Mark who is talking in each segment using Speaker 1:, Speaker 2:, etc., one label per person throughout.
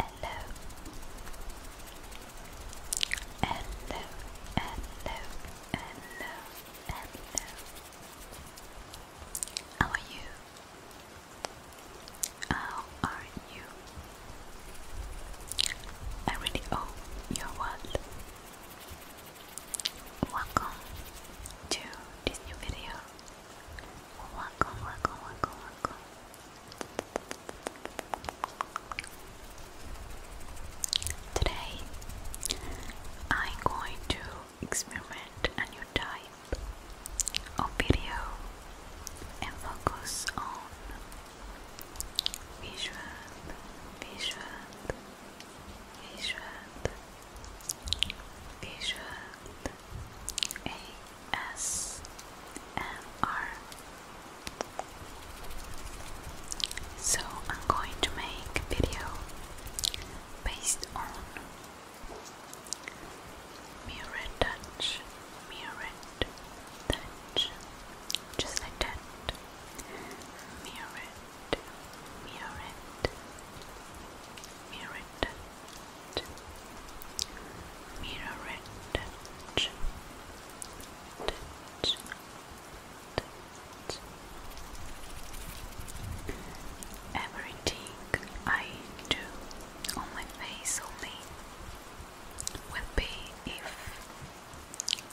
Speaker 1: Hello, hello, hello, hello, How are you? How are you? I really hope you're Welcome to this new video. Welcome, welcome, welcome, welcome. Today I'm going to experiment a new type of video and focus on visual, visual, visual Visual ASMR. So I'm going to make video based on mirror touch, mirror touch, just like that. Mirror Mirrant, Mirrant, Mirrant, Touch, Touch, Touch. Everything I do on my face only will be if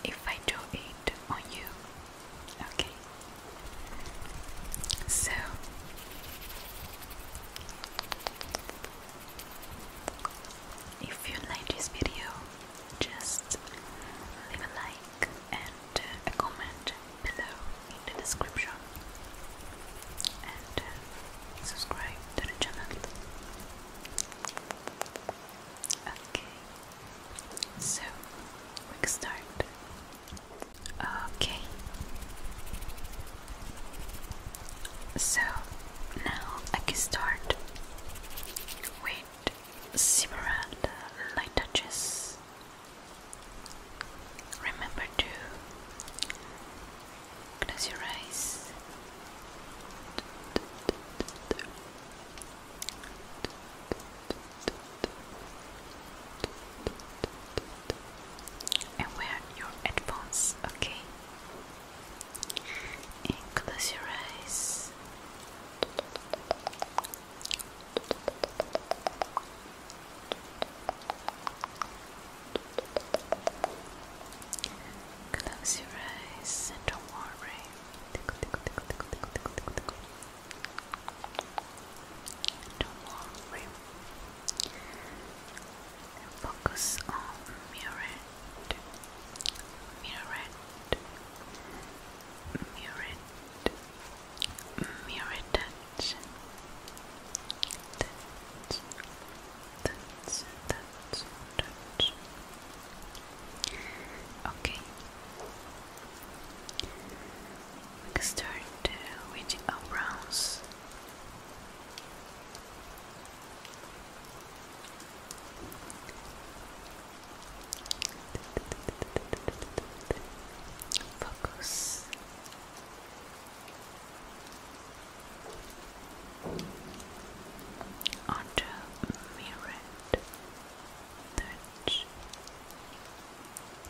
Speaker 1: if I do it on you. Okay. So if you like this video, just leave a like and uh, a comment below in the description and uh, subscribe to the channel. Okay, so we can start. Okay. So now I can start with several light touches. Remember to close your eyes and wear your headphones, okay? And close your eyes. Close your eyes and don't worry. Don't worry. Focus on mirrored, mirrored, mirrored, mirrored touch, touch, touch, touch, touch. Okay. Next turn to Witch of Bronze. Focus. Onto mirrored touch.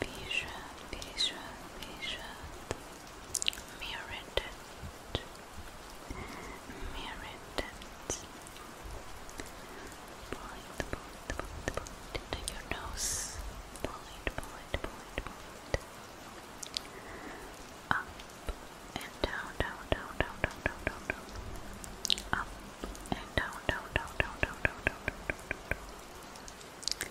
Speaker 1: Bishop, Bishop, Bishop, Merited, Merited. Point, point, point, point into your nose. Point, point, point, point. Up and down, down, down, down, down, down, down, down. Up and down, down, down, down, down, down, down, down, down, down. down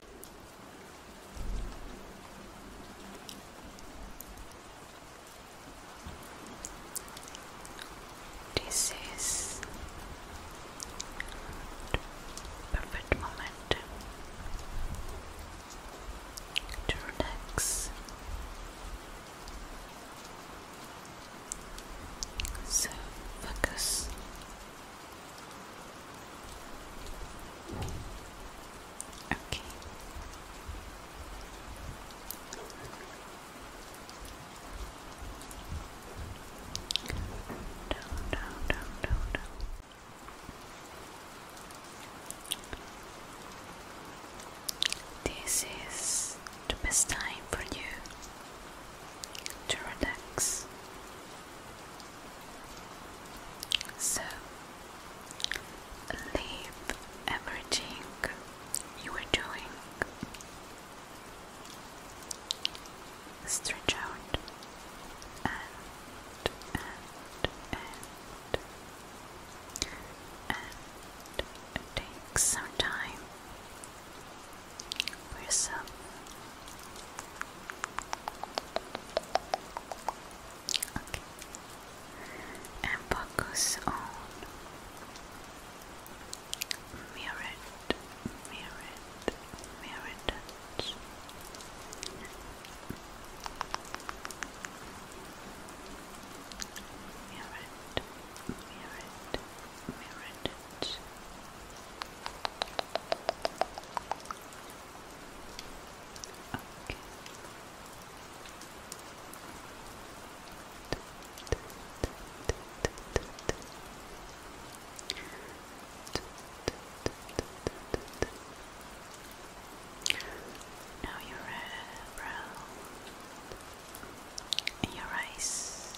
Speaker 1: This is the perfect moment to relax. So focus Okay. Down, down, down, down, This is the best time for you to relax. So leave everything you are doing. Stretch out and and and and take some time for yourself. Okay. And focus on mirrored, mirrored, mirrored. Mirrored, mirrored, mirrored. Okay. Now your brow your eyes.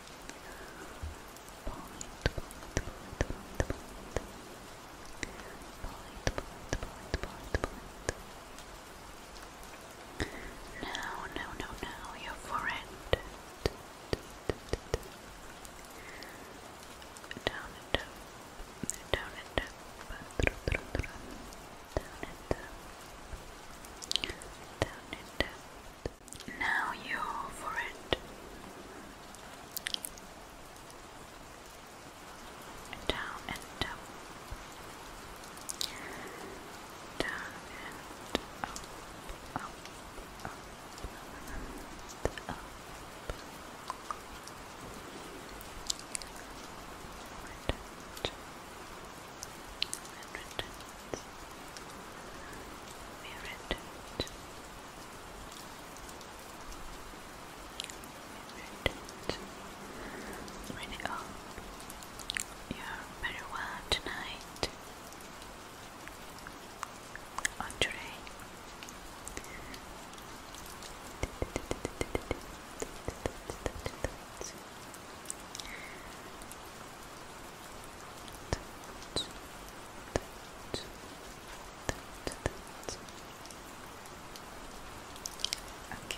Speaker 1: No, no, no, no, your forehead. Down and up, down and up, down and up, down and up. Now you for it. Down and up. Down and up, up, up, and up. Redundant. Redundant. Redundant. Ready up. You're very well tonight. On that, that. Okay.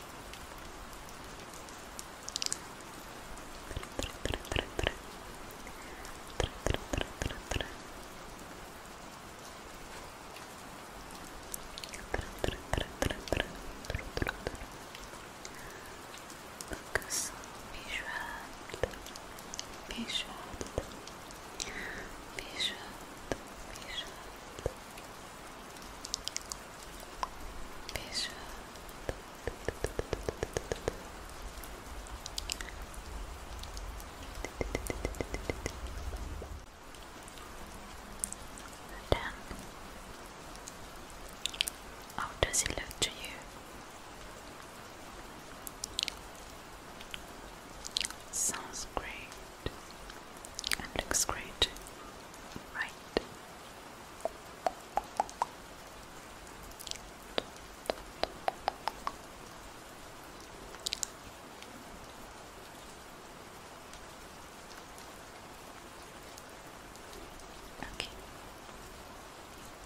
Speaker 1: Bishop, Bishop, Bishop, then, how does it look to you? Sounds great and looks great, right? Okay.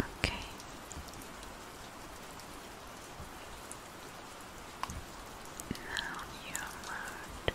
Speaker 1: Okay. Now you mode.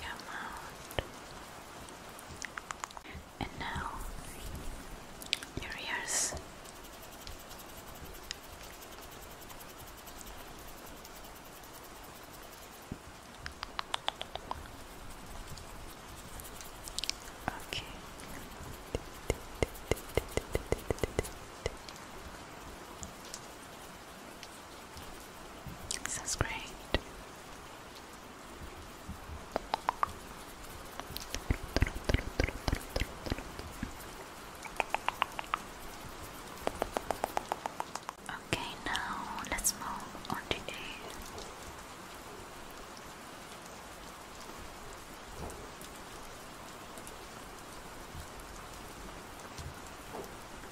Speaker 1: your mouth, and now your ears. Okay. This is great. Okay, now let's move on to A.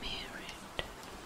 Speaker 1: Merit,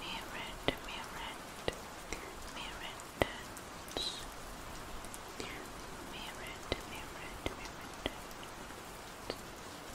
Speaker 1: Mirror, mirror, mirror Mirror, mirror, mirror Mirror,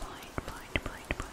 Speaker 1: Point, point, point, point.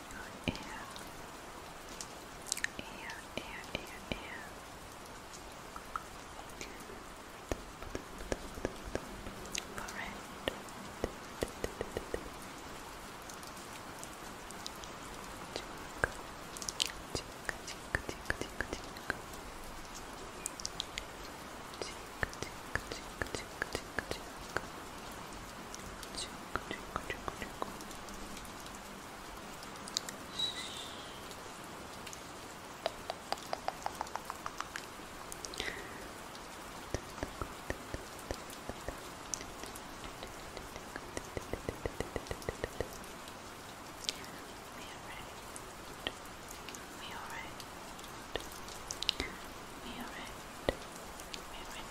Speaker 1: your ear. Ear, ear, ear, ear. Forehead. Cheek, cheek, cheek, cheek, cheek. Cheek, cheek, cheek, cheek, cheek, cheek. We are red. We are red. We are red.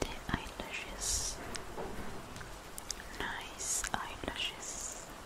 Speaker 1: The eyelashes, nice eyelashes.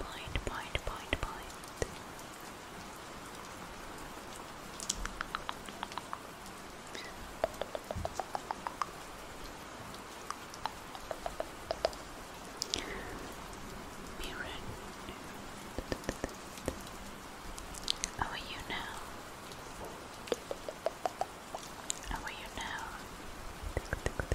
Speaker 1: Point, point, point, point. Mirren. How are you now? How are you now? That moment,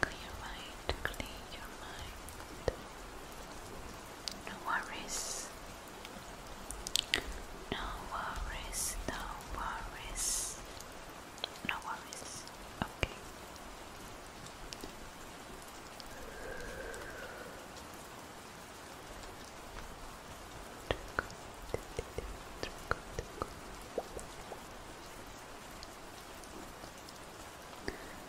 Speaker 1: Clear your mind, clear mind. No worries. No worries, no worries, no worries. Okay.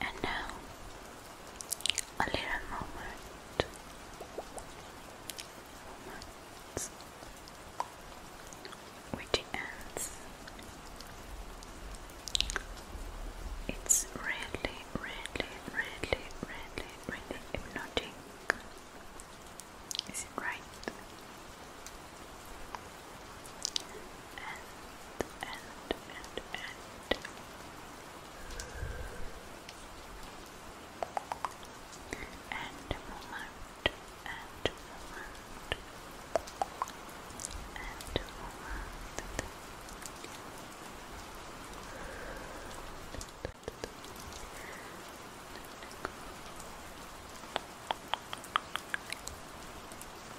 Speaker 1: And now, a little moment. moment with It's really, really, really, really, really hypnotic. Is it right? and, and, and. And moment, and moment, and moment. And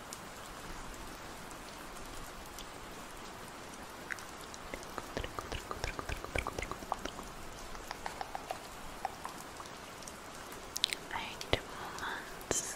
Speaker 1: eight moments Eight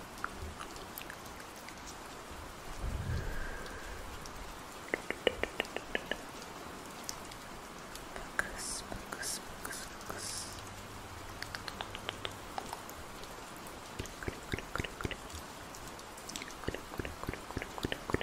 Speaker 1: Focus, focus, focus, focus. Good, good, good, good, good, good.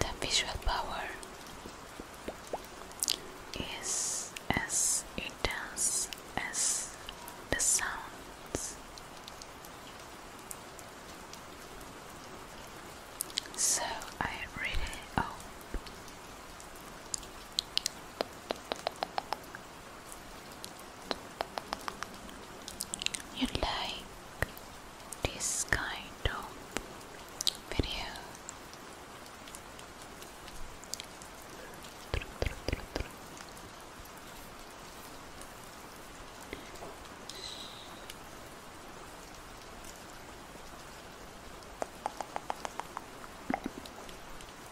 Speaker 1: The visual power is as intense as the sounds. So I really hope you like this kind of video.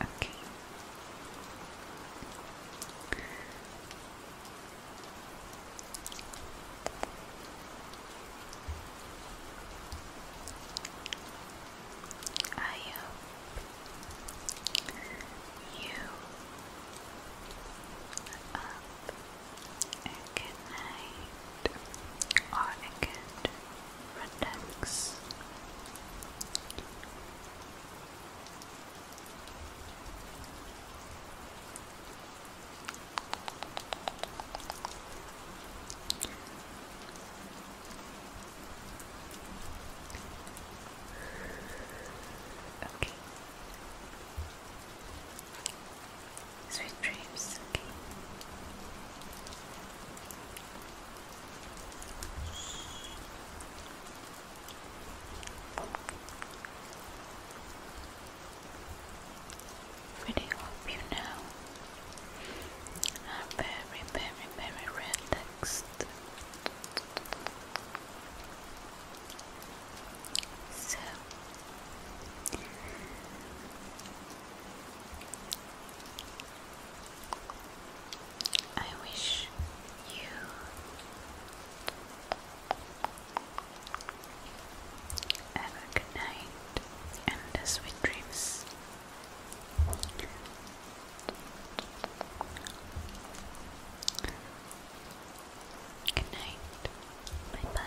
Speaker 1: Okay. I hope you up a good night or a Okay. Sweet dreams, okay. Really hope you know I'm very, very, very relaxed. So I wish you have a good night and sweet dreams. Good night. Bye bye.